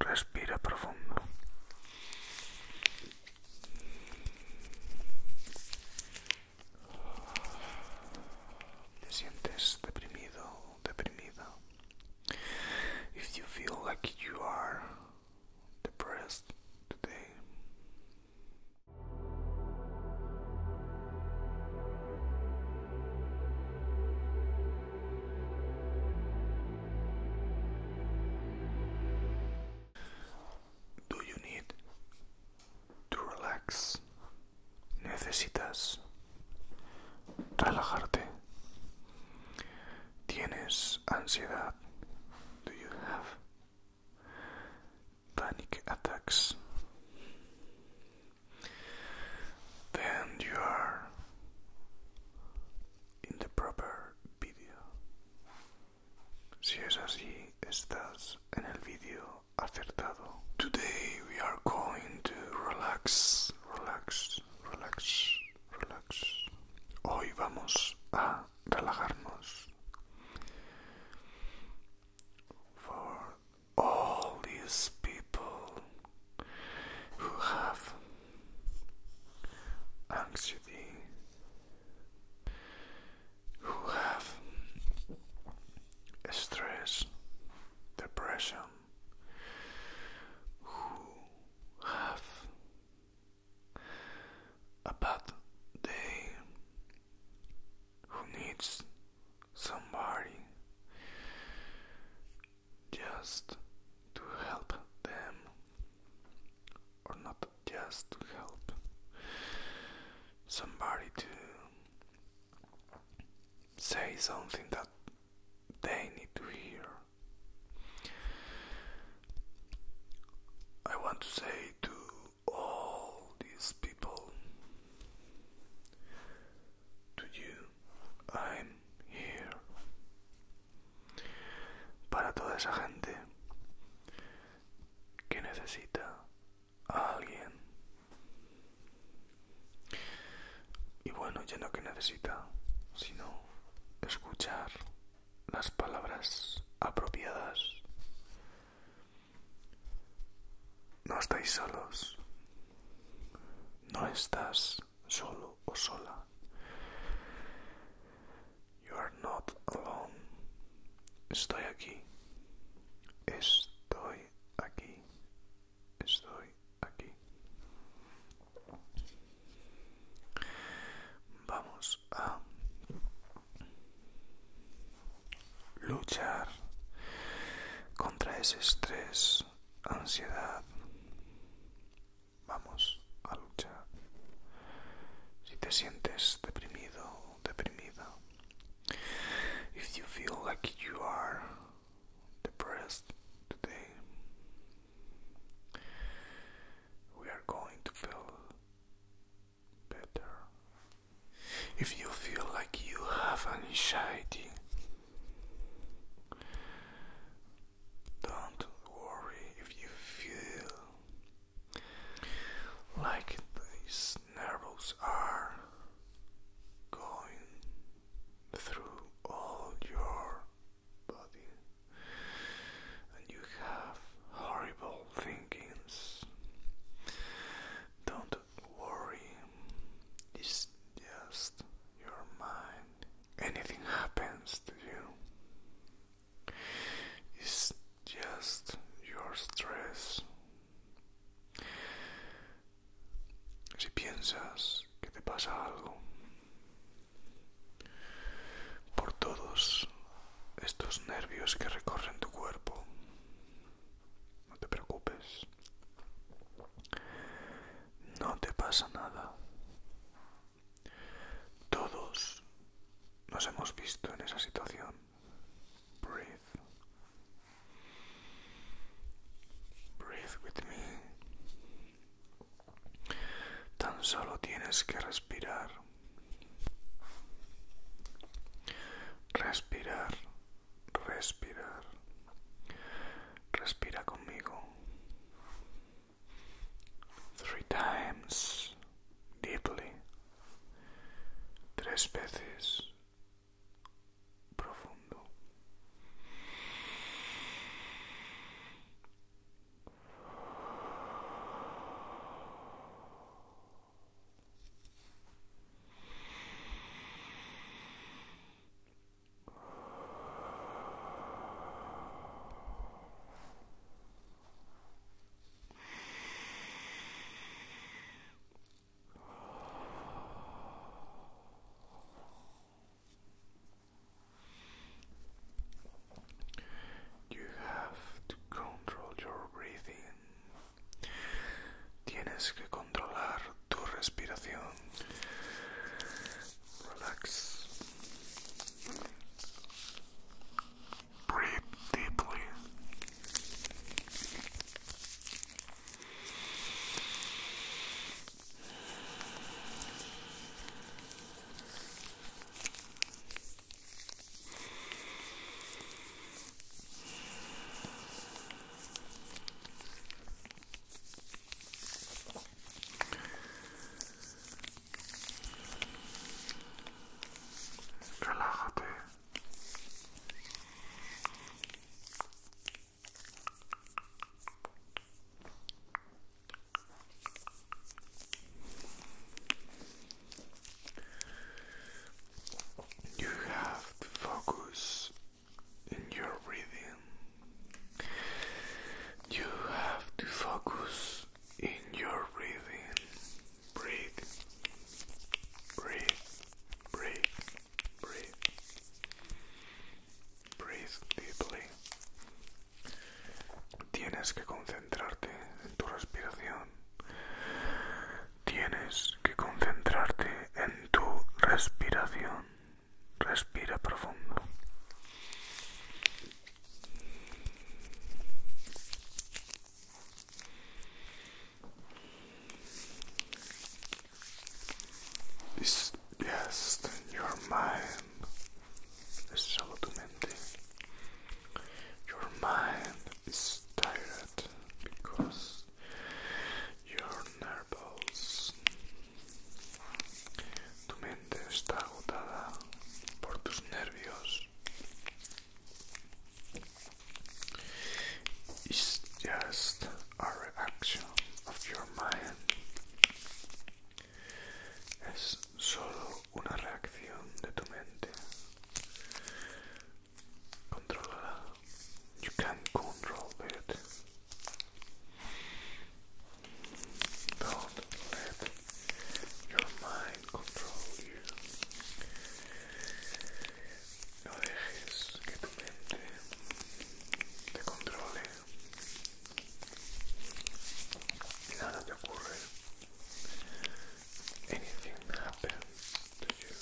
Respira profundo. ¿Te sientes deprimido o deprimida? If you feel like you are depressed today. Do you need to relax? Necesitas relajarte. Tienes ansiedad. Do you have panic attacks? Then you are in the proper video. Si es así, estás en el video acertado. Today we are going to relax, relax, relax, relax. Hoy vamos a relajarnos. For all these people who have anxiety who have stress, depression, who have a bad day, who needs somebody just to help them, or not just to help somebody to say something that they need to hear. I want to say to all these people, to you, I'm here para toda esa gente que necesita a alguien. Y bueno, ya no que necesita, sino escuchar las palabras apropiadas. No estáis solos. No estás solo o sola. You are not alone. Estoy aquí. Estoy aquí. Estoy aquí. Vamos a luchar contra ese estrés, ansiedad, Vamos a luchar. if you feel like you are depressed today, we are going to feel better. If you feel like you have anxiety, don't worry if you feel like these nerves are going through all your body and you have horrible thinkings. Don't worry, it's just your mind anything happens to you. It's just your stress. Si piensas que te pasa algo, por todos estos nervios que recorren tu cuerpo, no te preocupes no te pasa nada. Todos nos hemos visto en esa situación. Breathe. Breathe with me. Tan solo tienes que respirar. Respirar, respirar. Respira conmigo. three times deeply, tres veces profundo. You have to control your breathing. Tienes que controlar tu respiración. Relax. Breathe deeply. Relájate. You have to focus in your breathing. You have to focus in your breathing. Breathe, breathe, breathe, breathe. Breathe deeply. Tienes que concentrarte en tu respiración. Tienes que concentrarte en tu respiración. respira profundo. your mind, solo tu mente. Your mind is tired because your nerves Tu mente está it's just a reaction of your mind es solo una reacción de tu mente controlada you can control it don't let your mind control you. No dejes que tu mente te controle. Nada te ocurre. Anything happens to you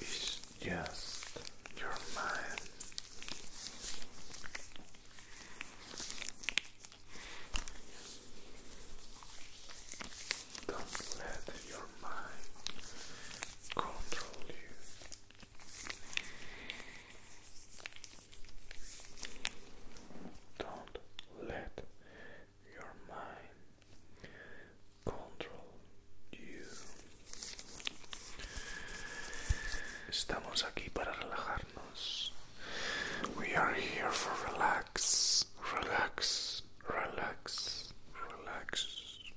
is just your mind don't let your mind control you. Don't let your mind control you. Estamos aquí para relajarnos. We are here for relax, relax, relax, relax,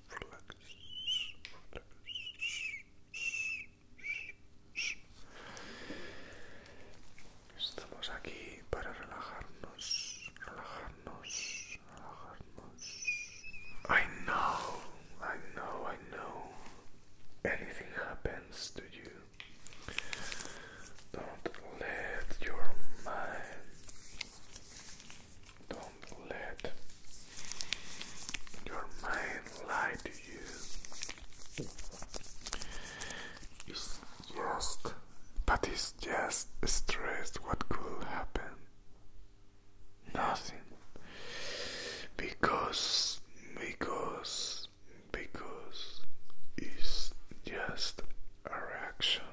relax, relax. Estamos aquí para relajarnos, relajarnos, I know, I know, I know. Anything happens to you. Don't let your mind. Don't let your mind lie to you. It's lost, but it's just stressed. What could happen? nothing because because because it's just a reaction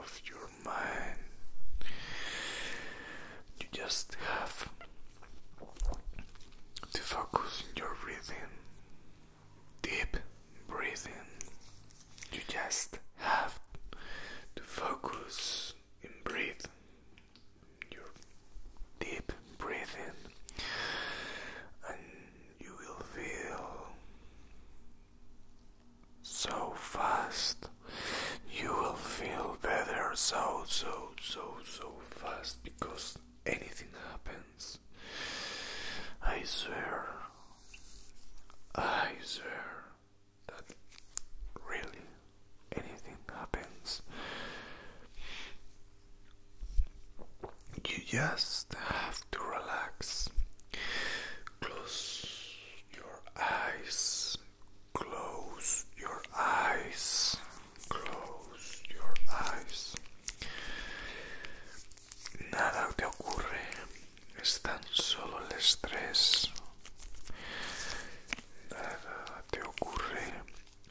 of your mind you just have to focus in your breathing deep breathing you just have to focus in breathing your deep breathing, and you will feel so fast. You will feel better so, so, so, so fast because anything happens. I swear, I swear, that really anything happens. You just have to relax. Close your eyes. Close your eyes. Close your eyes. Nada te ocurre. Es solo el estrés Nada te ocurre,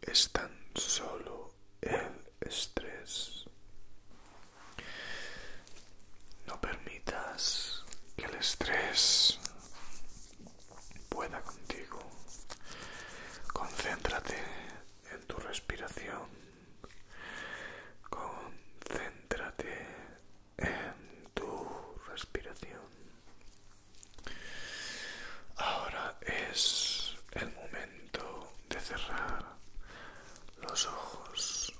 es tan solo el estrés. No permitas que el estrés pueda contigo. Concéntrate en tu respiración. Concéntrate en tu respiración. Ahora es el momento de cerrar los ojos.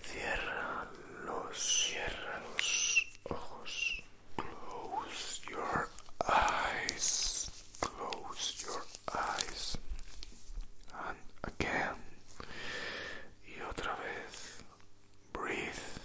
Cierra los, cierra los ojos. Close your eyes. Close your eyes. And again. Y otra vez. Breathe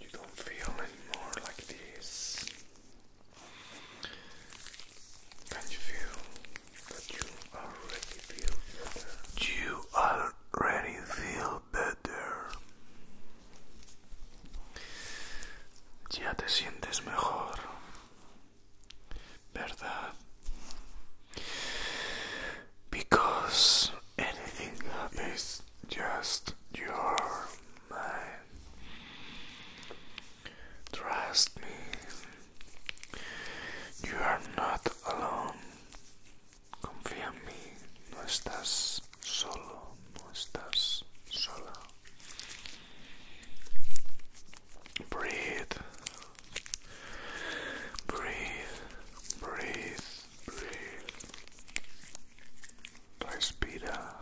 You don't feel anymore like this. Can you feel that you already feel You already feel better. Ya te sientes mejor. Because anything is just your mind. Trust me, you are not alone. Confía en mí, no estás solo, no estás sola. Breathe Breathe, breathe, breathe. Respira,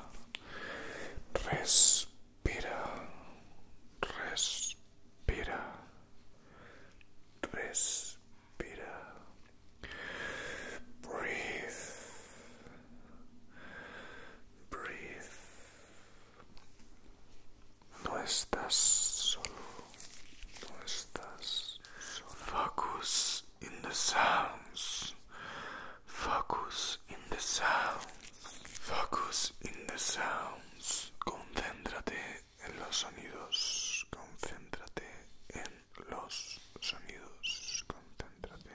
respira, respira, respira. Breathe, breathe. No estás solo. No estás solo. Focus in the sounds. Focus in the sounds. Focus in the sounds. Concéntrate en los sonidos. Concéntrate en los sonidos. Concéntrate.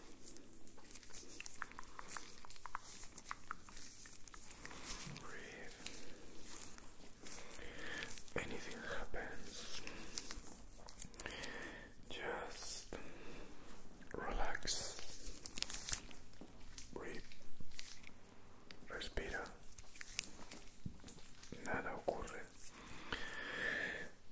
Breathe. Anything happens, just relax. Breathe. Respira. Nada ocurre.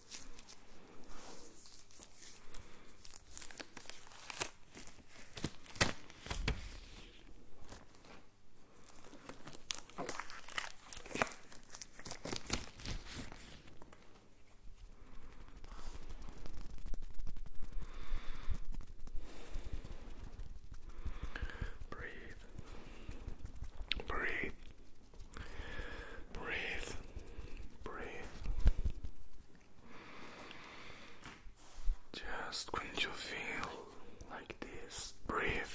Breathe. Breathe. Breathe, breathe. Just when you feel like this, breathe.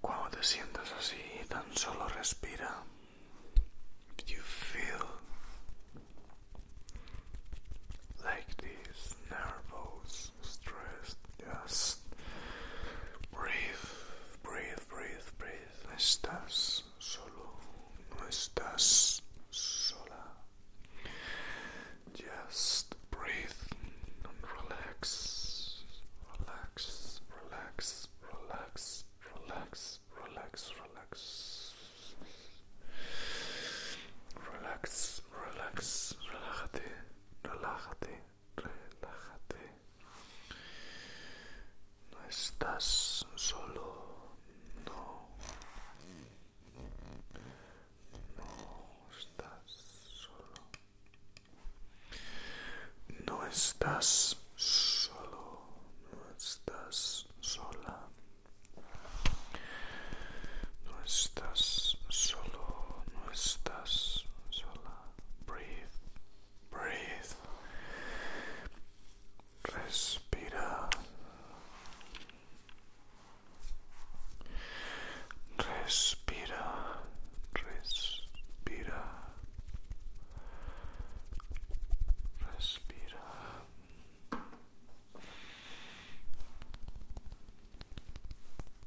Cuando te sientas así, tan solo respira. You feel like this nervous stressed. Just breathe, breathe, breathe, breathe. estás solo, estás sola. Just breathe and relax, relax, relax, relax, relax, relax, relax. Relax, relax, relájate, relájate. relájate. No estás solo, no. No estás solo. No estás solo, no estás sola. No estás solo, no estás sola. breathe, breathe. Respira. Respira. Respira. Respira.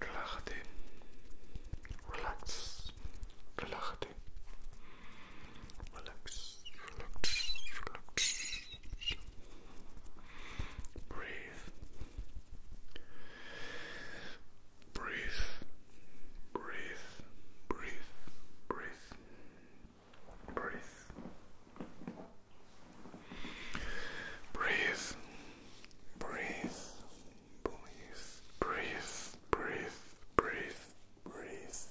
Relájate, relax, relax, relax, relax. Breathe. Breathe. Breathe. Breathe. Breathe. Breathe. Breathe. Breathe. Breathe. Breathe. Breathe. Breathe. Breathe.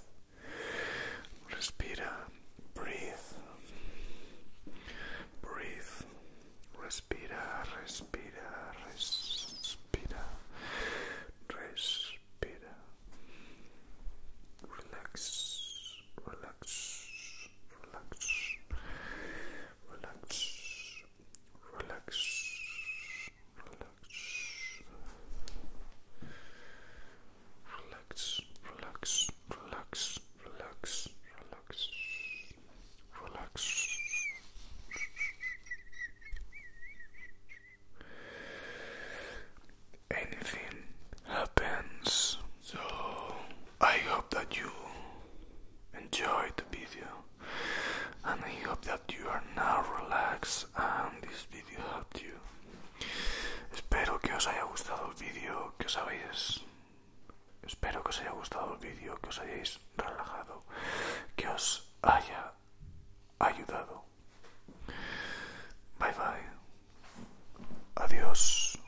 Respira breathe, breathe, respira, respira, respira, respira, relax, relax, relax, relax, relax. Relax, relax, relax, relax, relax, relax, relax. Anything happens. So I hope that you enjoyed the video and I hope that you are now relaxed and this video helped you. Espero que os haya gustado el vídeo, que os habéis... Espero que os haya gustado el vídeo, que os hayáis relajado, que os haya ayudado. Bye bye. Adiós.